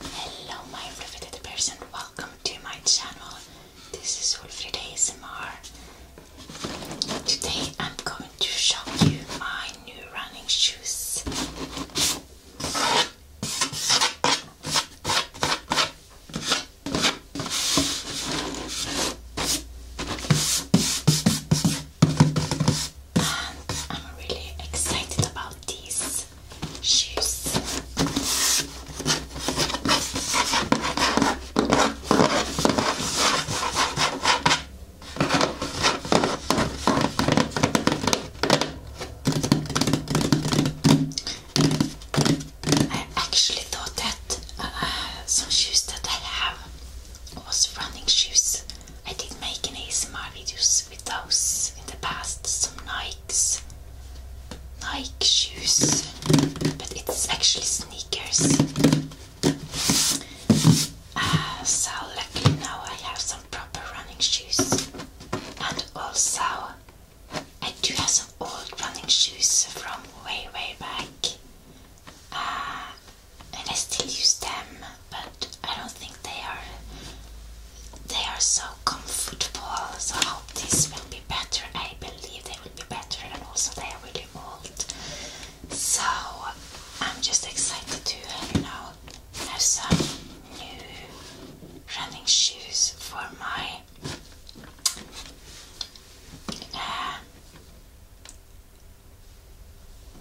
Hello my riveted person, welcome to my channel. This is Wolfried ASMR. Today I'm going to show you my new running shoes. And I'm really excited about these these shoes. I actually thought that uh, some shoes that I have was running shoes. I did make an ASMR videos with those in the past, some Nikes, Nike shoes, but it's actually sneakers. Ah, so luckily now I have some proper running shoes, and also I do have some old running shoes from way way back, Ah, and I still use them but I don't think they are they are so comfortable. So I hope this will be better. I believe they will be better, and also they are really old. So I'm just excited to you know have some new running shoes for my. Uh,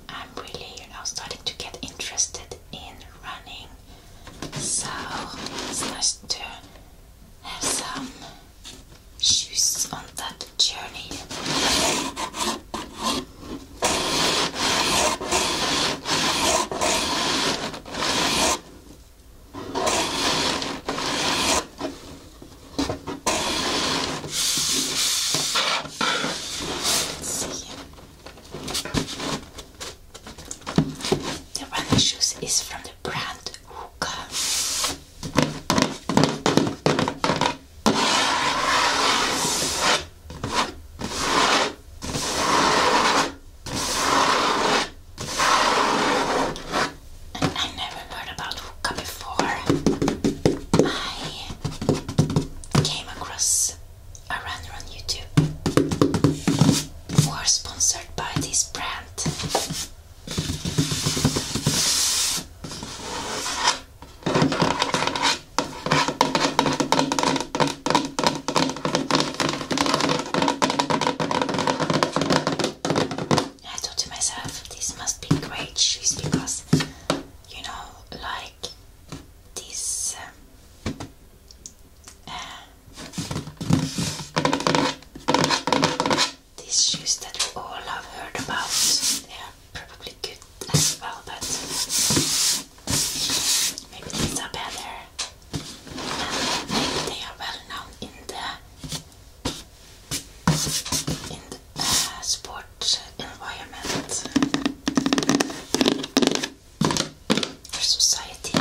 I'm really, you starting to get interested in running so it's nice to have some shoes on that journey. The running shoes is from the brand Hookah. I never heard about Hookah before. I came across I render on YouTube who are sponsored by this brand. I thought to myself, this must be great shoes because you know, like these um, uh, these shoes that we all have heard about, they are probably good as well, but maybe these are better. they are well known in the in the uh, sport environment. For society.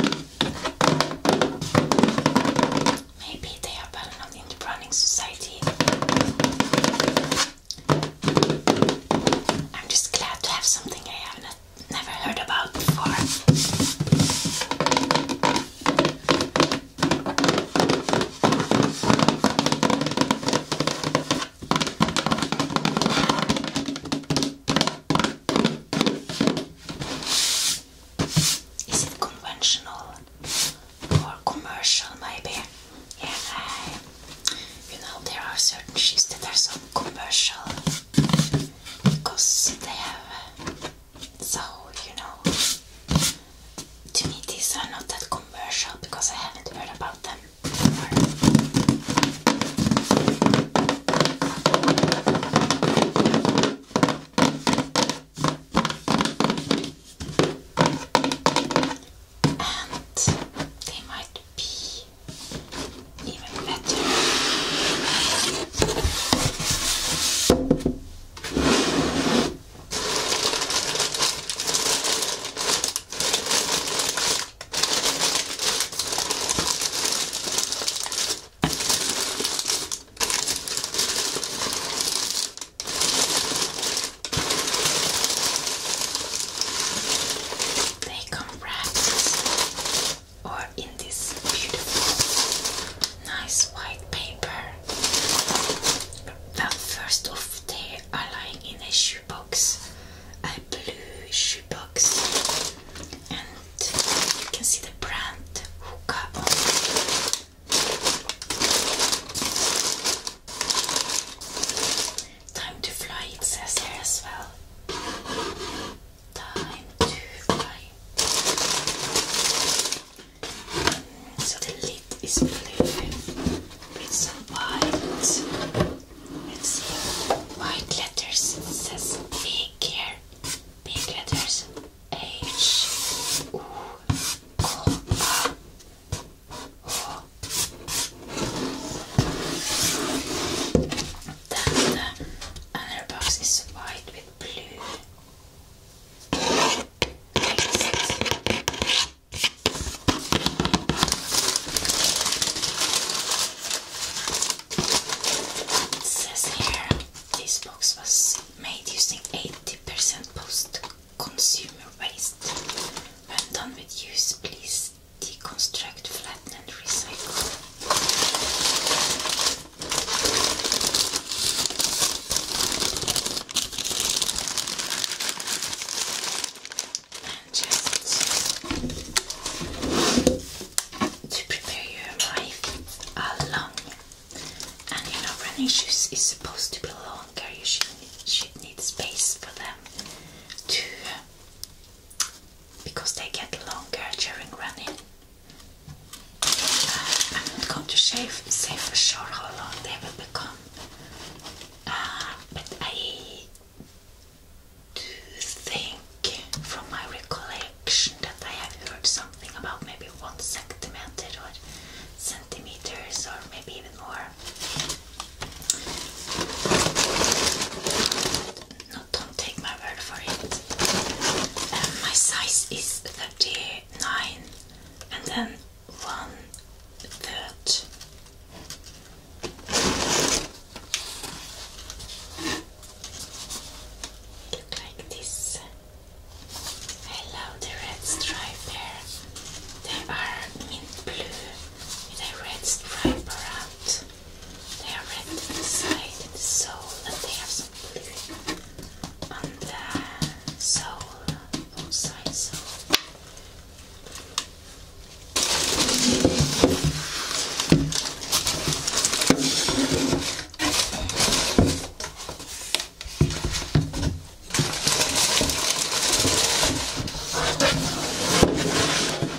Maybe they are better not the running society. I'm just glad to have something I have never heard about before. Is it conventional or commercial? Maybe. Yeah, I, you know there are certain shoes that are so commercial because they have so you know. To me, these are not that commercial because I haven't heard about them. And they might be even better. They come wrapped or in this beautiful, nice white paper. The first of the are lying in a shoebox, a blue shoe box and you can see the brand hookah Time to fly it says here as well. Time to fly. So the lid is blue with some white it's white letters. says big here. Big letters. H U O A. Oh. box is white with blue. It says here these books was made using 80% post-consumer waste. When done with use, please deconstruct, flatten and recycle just to prepare your life uh, long. And you running shoes is supposed to be longer. You should, need space for them to, because they get longer during running. Uh, I'm not going to shave, say for sure how long they will become, uh, but I do think from my recollection that I have heard something about maybe one centimeter or centimeters or maybe even more. No, don't take my word for it. Um, my size is 39 and then one third. Look like this. I love the red stripe here. They are in blue with a red stripe around. They are red inside the sole and they have some blue on the sole, both sides. So.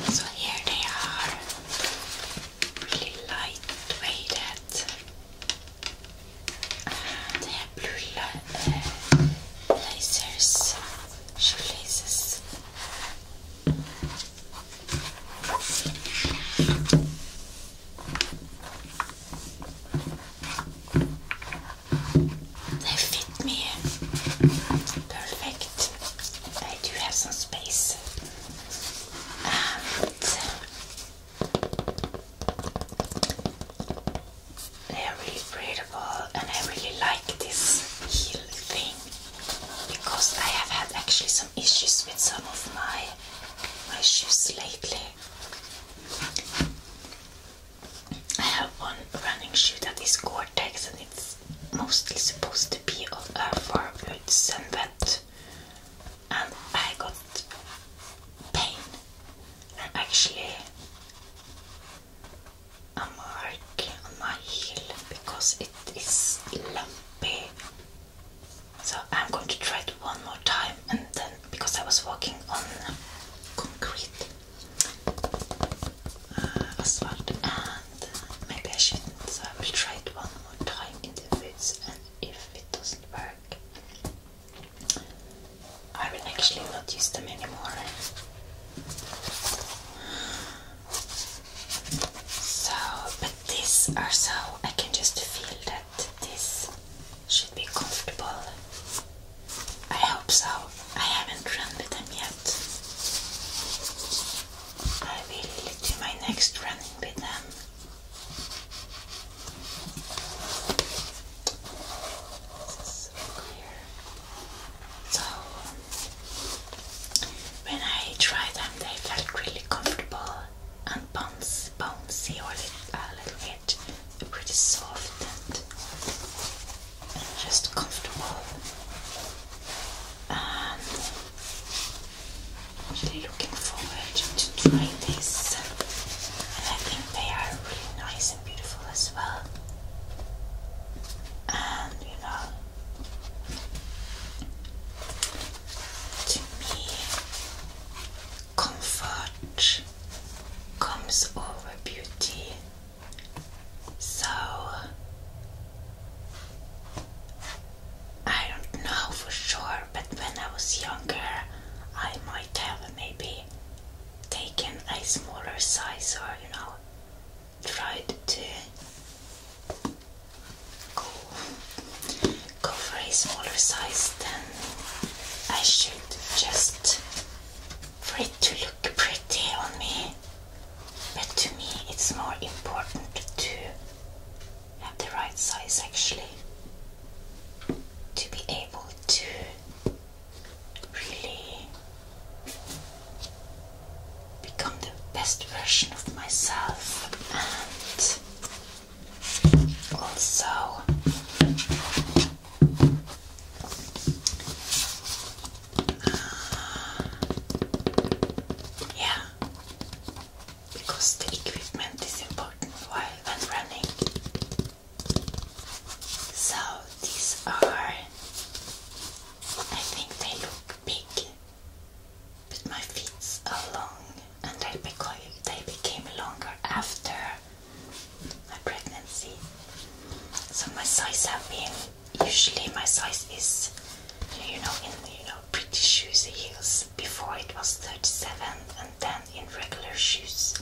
So here they are, really lightweighted, and they have blue uh, lasers shoelaces. They fit me perfect. I do have some space. They're really breathable and I really like this heel thing because I have had actually some issues with some of my my shoes lately. I have one running shoe that is Gore-Tex and it's mostly supposed to be of uh, for boots and that and I got pain actually a mark on my heel because it is lumpy. So I'm going to try it one more time and then because I was walking on concrete uh, asphalt and maybe I shouldn't so I will try it one more time in the woods and if it doesn't work I will actually not use them anymore. So, but these are so I can just feel that this should be comfortable. I hope so. I haven't run with them yet. I will do my next running with them. So clear. So when I tried them, they felt really comfortable and bouncy, a little bit, pretty soft and, just comfortable. Um, really looking forward to trying these, and I think they are really nice beautiful as well. And you know, to me, comfort comes over beauty. So, I don't know for sure, but when I was younger, I might have maybe taken a smaller size or you know tried to go, go for a smaller size, then I should just for it to look pretty on me. But to me, it's more important to have the right size actually to be able to really become the best version of myself and also uh, yeah because the equipment is important while I'm running so these are, I think they look big, but my feet are long and they became, they became longer after my pregnancy. So my size have been, usually my size is, you know, in you know pretty shoes heels. Before it was 37 and then in regular shoes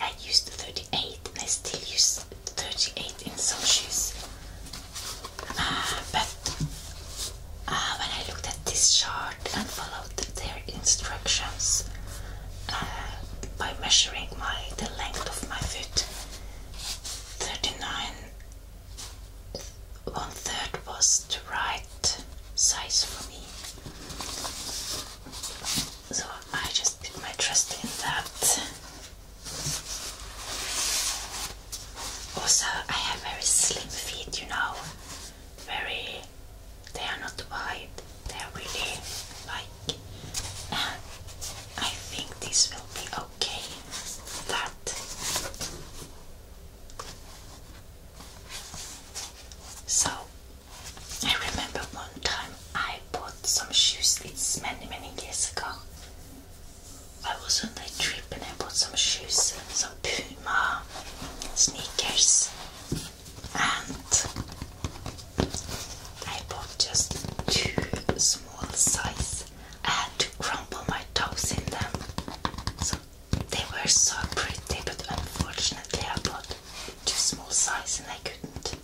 I used 38 and I still use 38 in some shoes. Ah, but ah, when I looked at this chart and followed their instructions uh, by measuring my the length of my foot, 39 one third was the right size for me. So I just put my trust in that. Also, I have very slim feet, you know, very, they are not wide, they are really like, I think this will be okay, that. So, I remember one time I bought some shoes. It's many, many years ago. I was on a trip and I bought some shoes, some Puma sneakers, and I bought just two small size. I had to crumble my toes in them. So they were so pretty, but unfortunately I bought too small size and I couldn't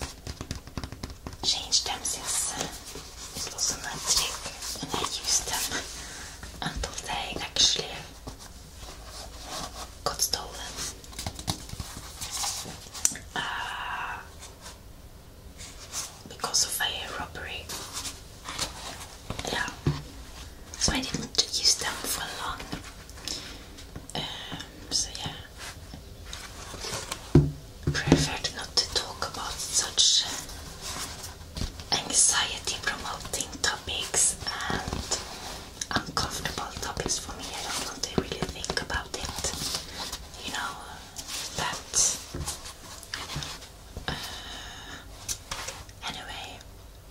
change them since it was on that trip and I used them until they actually got stolen. Uh, because of a robbery. Yeah. So I didn't use them for a long. Um, so yeah preferred not to talk about such anxiety promoting topics and uncomfortable topics for me. I don't know if they really think about it. You know, that. Uh, anyway,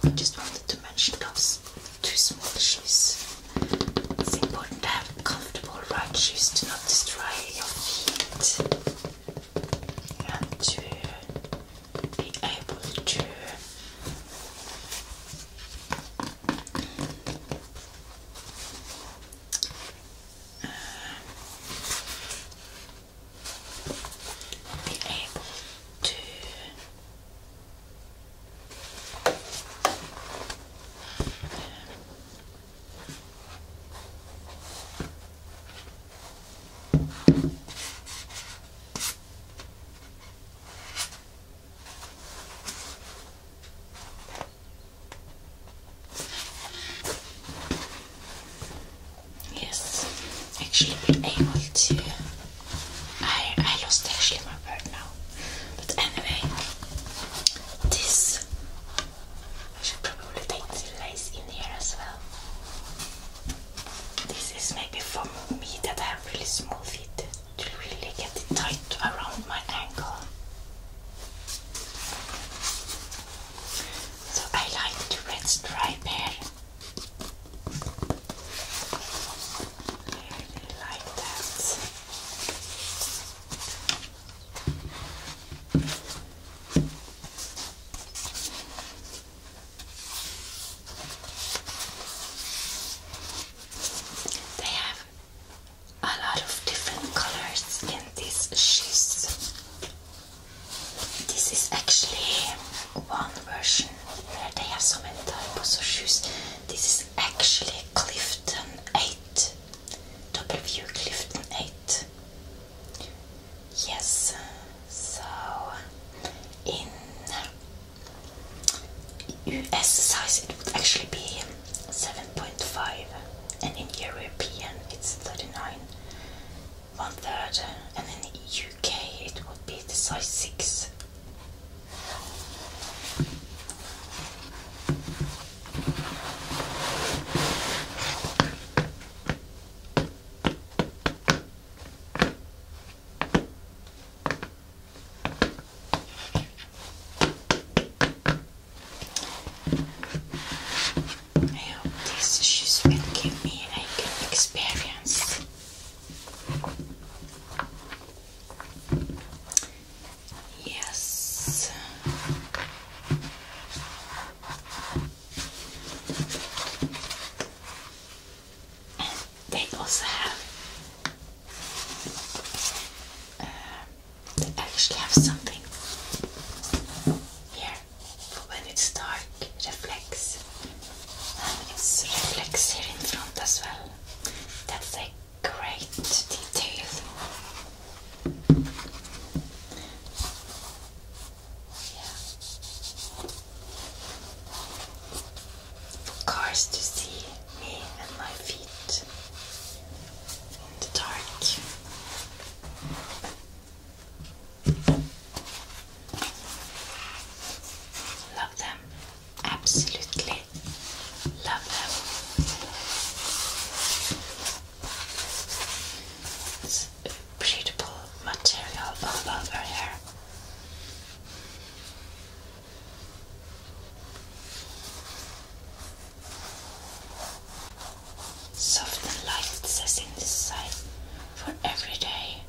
I just wanted to mention those two small issues. It's important to have comfortable right shoes to not destroy your feet and to be able to be able to Yes, actually, able to. I I lost actually my bird now. But anyway, this I should probably take the lace in here as well. This is maybe for me that I have really small feet. to really get it tight around my ankle. So I like the red stripe here. I really like that. They have a lot of different colors in these shoes. This is actually one version where they have so many types of shoes. This is is actually Clifton 8. W Clifton 8. Yes, so in US size it would actually be 7.5 and in European it's 39, one third and in UK it would be the size 6 I hope these shoes will give me a good experience. Yes. And they also have. Um, actually have something here for when it's dark. Reflex. Um, it's reflex here in front as well. That's like great detail. Yeah. For cars to see me and my feet in the dark. Love them absolutely love them. It's beautiful material all over here. Soft and light, it says in this side for every day.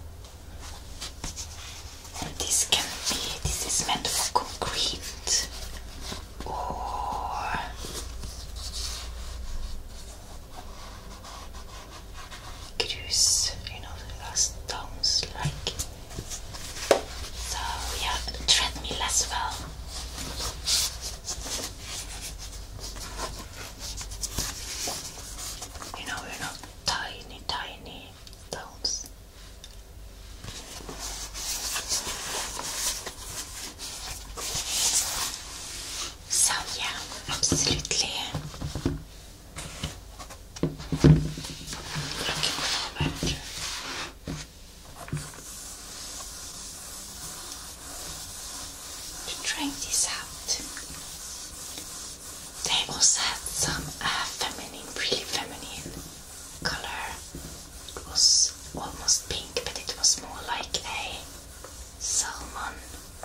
This can be, this is meant for concrete or could you know, last stones like. So we have a treadmill well. You know, you're tiny, tiny stones. So, yeah, absolutely. Looking forward. To try this out. They also had some uh, feminine, really feminine color. It was almost pink, but it was more like a salmon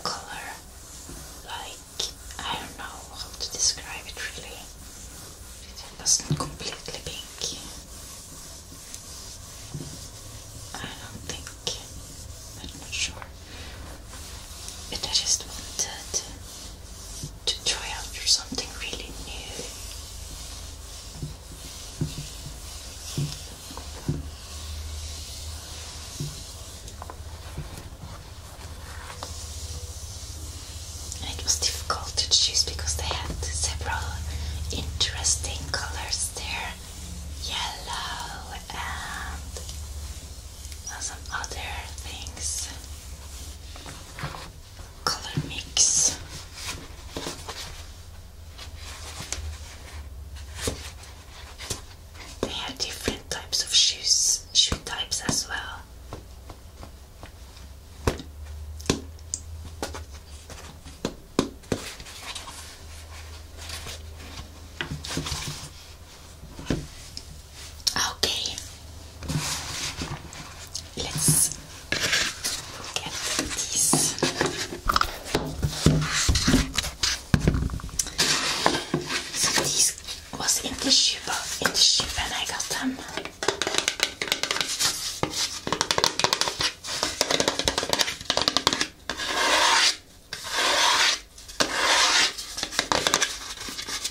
color. Like, I don't know how to describe it really. It wasn't completely pink. I don't think, I'm not sure. But I just wanted to try out for something really new. it was difficult to choose because they had several interesting colors there yellow and some other things color mix. They have different types of shoes, shoe types as well. Okay, let's get these. these was in the ship, in the ship, and I got them.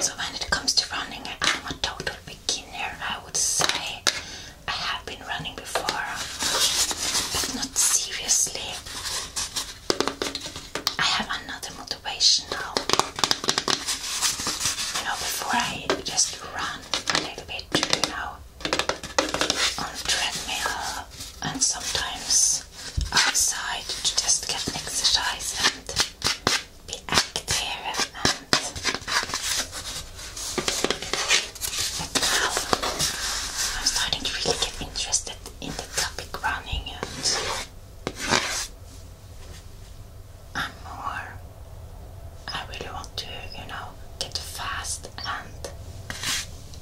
So when it comes to running, I'm a total beginner. I would say I have been running before, but not seriously. I have another motivation now. You know, before I just run a little bit, you know, on treadmill, and sometimes outside to just get exercise and be active and now I'm starting to really get interested in the topic running and more I really want to, you know, get fast and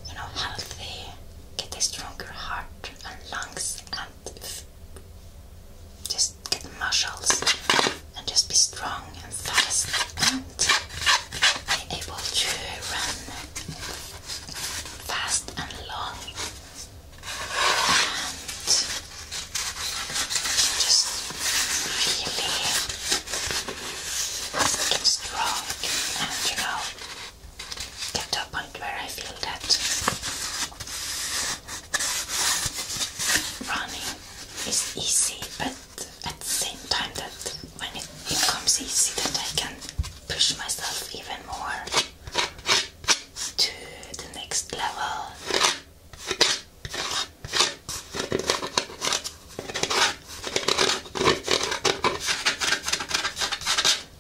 you know healthy get a stronger heart and lungs and just get muscles and just be strong and fast and be able to run fast and long and just really get strong and you know get to a point where I feel that running is easy, but at the same time that when it becomes easy that I can push myself even more to the next level.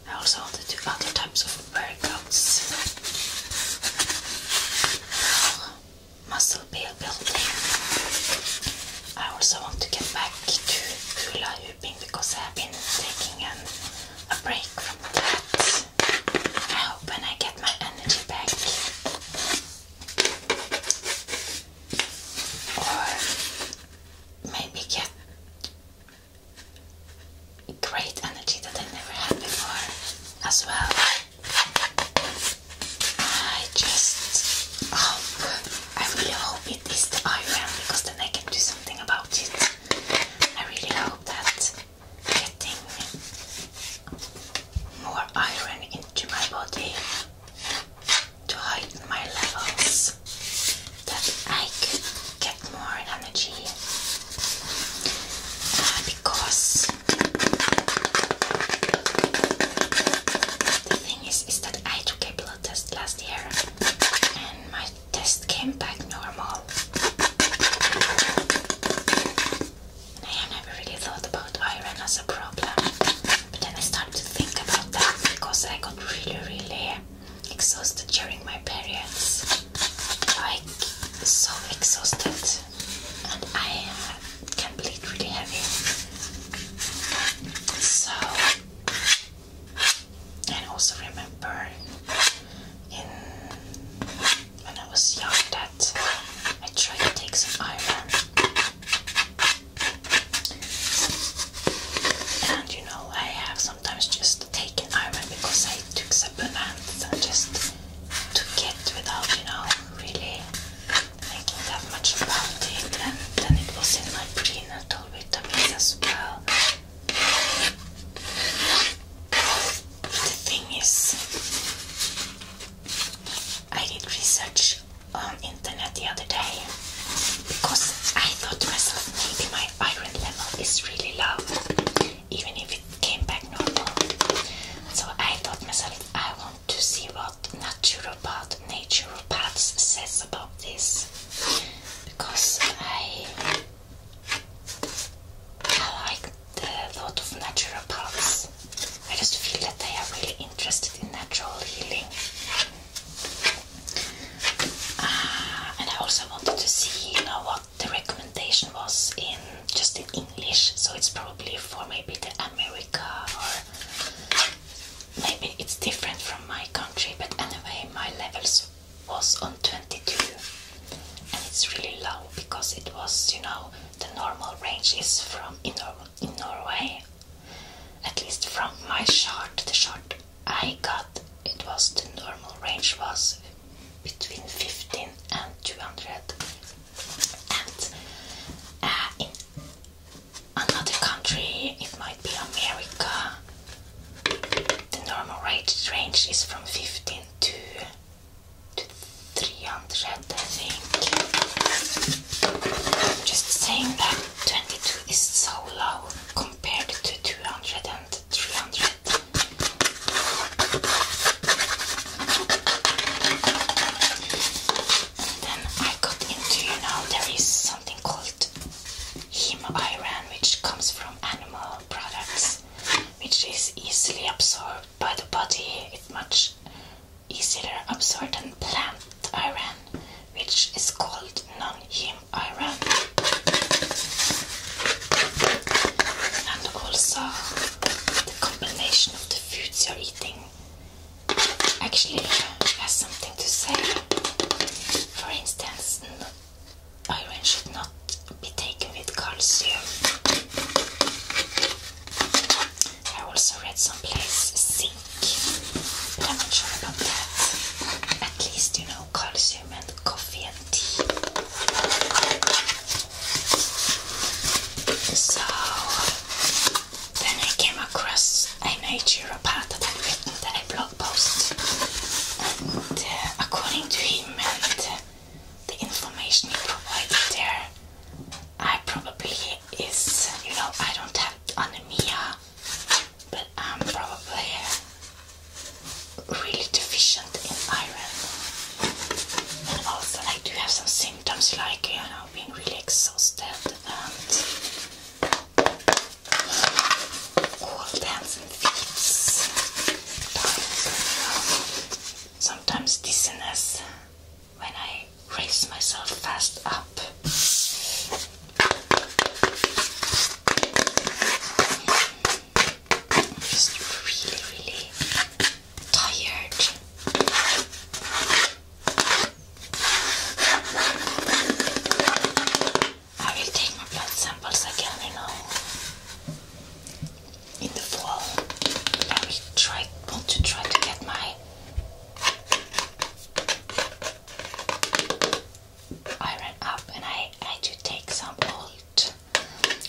I also want to do other types of workouts. Muscle building. I also want to get back to hula hooping because I have been taking a break from that. I hope when I get my energy back. Or maybe get great energy that I never had before as well. I just hope, I really hope it is the iron because then I can do something about it. I really hope that getting more iron into my body to heighten my levels that I could get more energy uh, because the thing is is that I took a blood test last year and my test came back normal. I have never really thought about iron as a problem. But then I started to think about that because I got really, really exhausted during my periods. Like, so exhausted. And I uh, can bleed really heavy. So, and also remember in when I was young that I tried to take some iron and you know, I have sometimes just taken iron because I took supplements and just to get without, you know, really thinking that much about it. And then it was in my prenatal vitamins as well. The thing is, I did research on internet the other day because I thought myself maybe my iron level is really low even if it came back normal. So I thought myself I want to see what naturopath naturopaths says about this because I I like the thought of naturopaths. I just feel that they are really interested in natural healing and I also wanted to see, you know, what the recommendation was in just in English. So it's probably for maybe the America or maybe it's different from my country. But anyway, my levels was on 22, and it's really low because it was, you know, the normal range is from in, Nor in Norway at least from my shot, the shot I got, it was the normal range was between 15 and 200. And uh, in another country, it might be America, the normal range, range is from 15 to, to 300, I think. Just saying that 22 is so low compared to 200 and 300. then I got into, you know, there is something called heme iron, which comes from animal products, which is easily absorbed by the body. It's much easier absorbed than plant iron, which is called non iron and also the combination of the foods you're eating actually has something to say for instance iron should not be taken with calcium I also read someplace C I'm not sure about that. At least you know calcium and coffee and tea. So then I came across a part that had written a blog post, and uh, according to him and uh, the information he provided there, I probably is you know I don't have anemia but I'm probably really deficient in iron. And also, I do have some symptoms like, you know, being really exhausted and cold hands and feet. Sometimes dizziness when I I raise myself fast up. I'm just really, really tired. I will take blood samples again, you know, in the fall. I try, want to try to get my I ran up and I had to take some old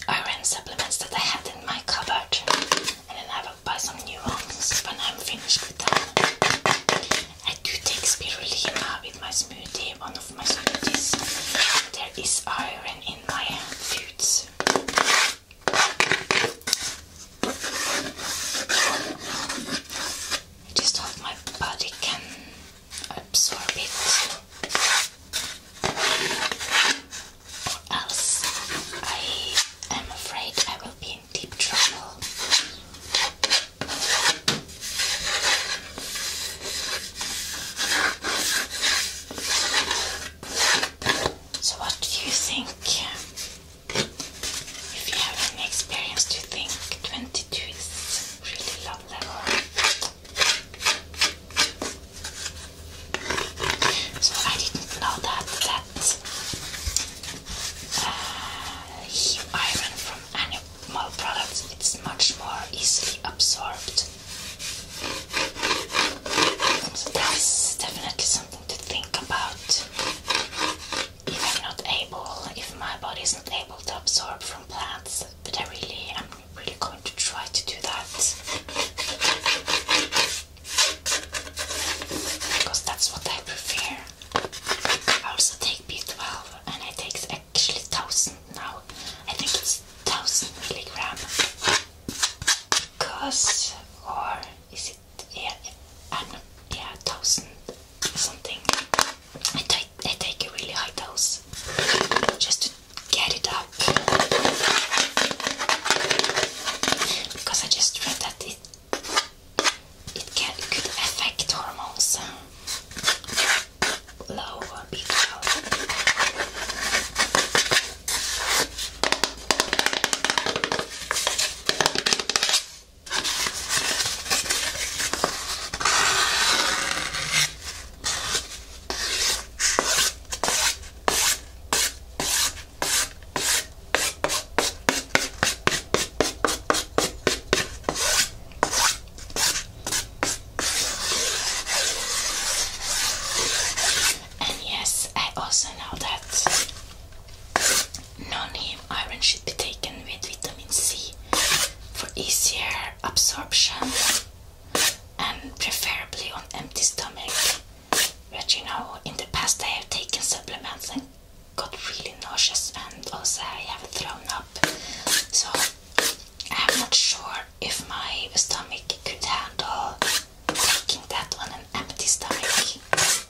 iron supplements that I had in my cupboard and then I will buy some new ones when I'm finished with them. I do take spirulina with my smoothie, one of my smoothies. There is iron in my foods. I Just hope my body can absorb it, or else I am afraid I will be in deep trouble. So, what do you think? If you have any experience, you think 22 is really low level? So I didn't know that that uh, iron from animal products it's much more easily absorbed. that's definitely something to think about if I'm not able, if my body is not able to absorb from plants, but I really, I'm really going to try to do that because that's what I prefer. I also take B12 and I take actually 1000 now. I think it's 1000 milligram. Because, or is it? yeah, i yeah, thousand something. I take I take a really high dose just to get it up because I just read that it it can could affect hormones uh, low B12. And yes, I also know that Non-heme iron should be taken with vitamin C for easier absorption and preferably on empty stomach. But you know, in the past I have taken supplements and got really nauseous and also I have thrown up. So I'm not sure if my stomach could handle taking that on an empty stomach.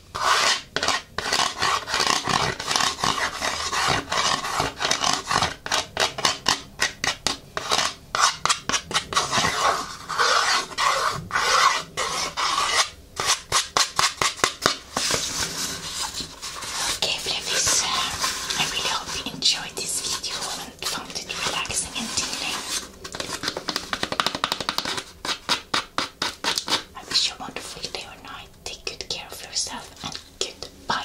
Okay, Flevies, I really hope you enjoyed this video and found it relaxing and tingling. I a wonderful day or night. Take good care of yourself and goodbye.